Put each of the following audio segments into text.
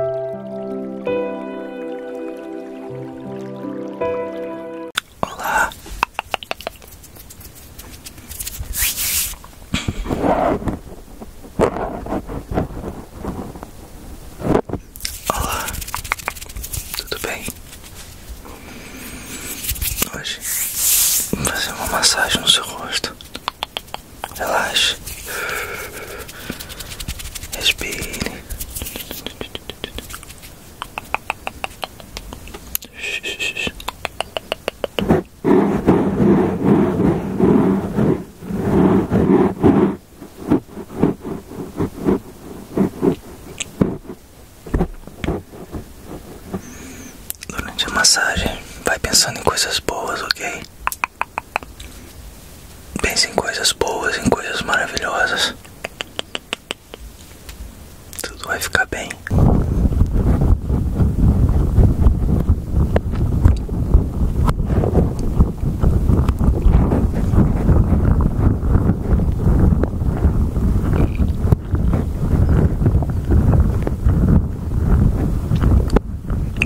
Olá. Olá. Tudo bem? Hoje vou fazer uma massagem no seu rosto relaxe, respire. Durante a massagem, vai pensando em coisas boas, ok? Pense em coisas boas, em coisas maravilhosas. Tudo vai ficar bem.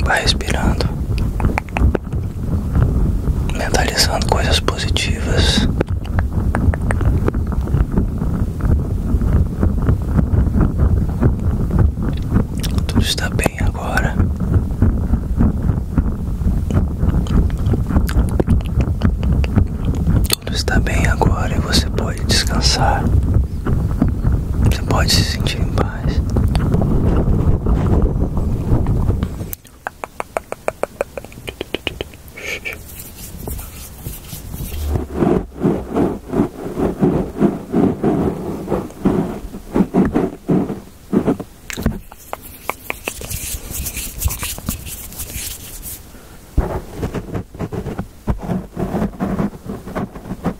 Vai respirando, mentalizando coisas positivas. Tudo está bem agora. Tudo está bem agora e você pode descansar. Você pode se sentir em paz.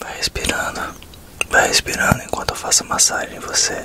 Vai respirando, vai respirando enquanto eu faço massagem em você.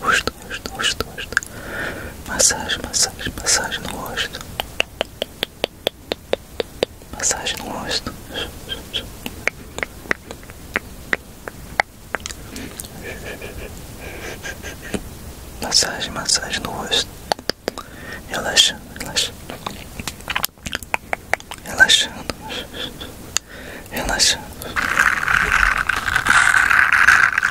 rosto, rosto, rosto, rosto. Massagem, massagem, massagem no rosto. Massagem no rosto. Massagem, massagem no rosto. Relaxando, relaxando, Relaxando. Relaxando.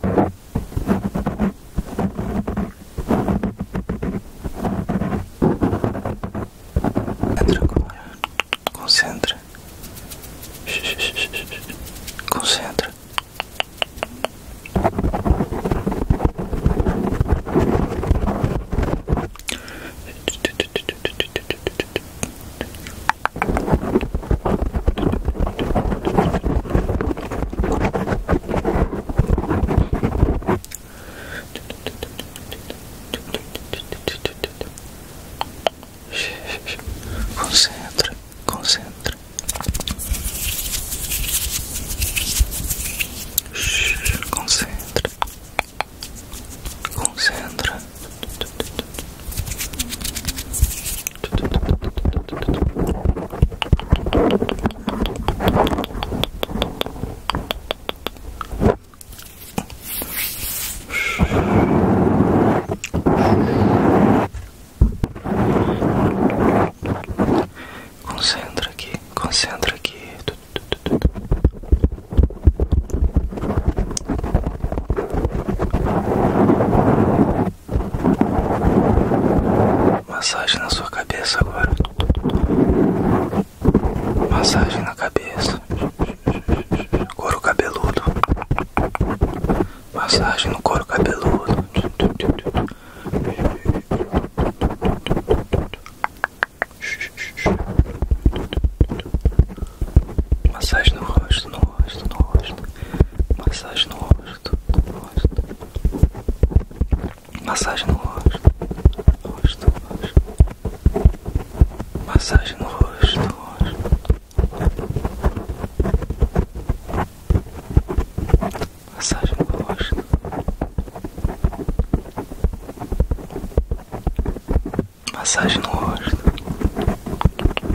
Tranquila. Concentra. Concentra. Concentra. Concentra, concentra. Concentra, concentra. Concentra aqui, concentra aqui. Massagem na sua cabeça agora. Massagem na cabeça. Coro cabeludo. Massagem no coro cabeludo. Massagem no rosto, no rosto, no rosto. Massagem no rosto massagem no rosto, rosto, rosto, massagem no rosto, rosto, massagem no rosto. Massagem no rosto.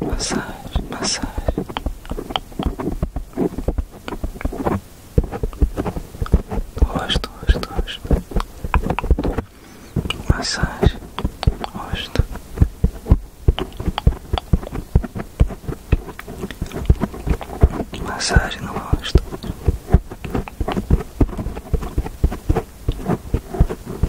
massagem, massagem. Rosto, rosto, rosto. Massagem, rosto. Massagem no rosto.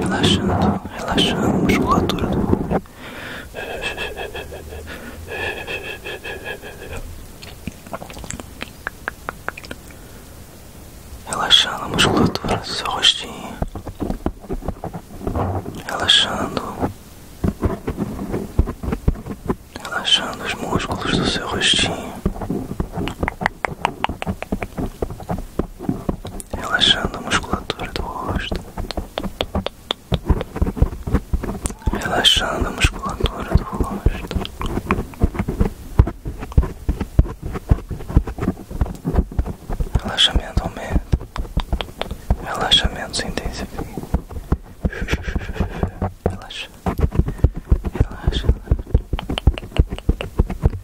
Relaxando, relaxando a musculatura do Relaxando a do seu rostinho Relaxando Relaxando os músculos do seu rostinho relaxando a musculatura do rosto, relaxando a musculatura do rosto. Relaxamento aumenta, relaxamento se intensifica. Relaxa, relaxa,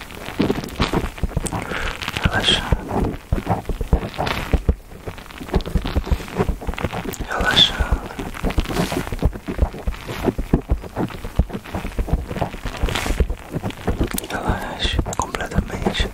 relaxa relaxa relaxa completamente.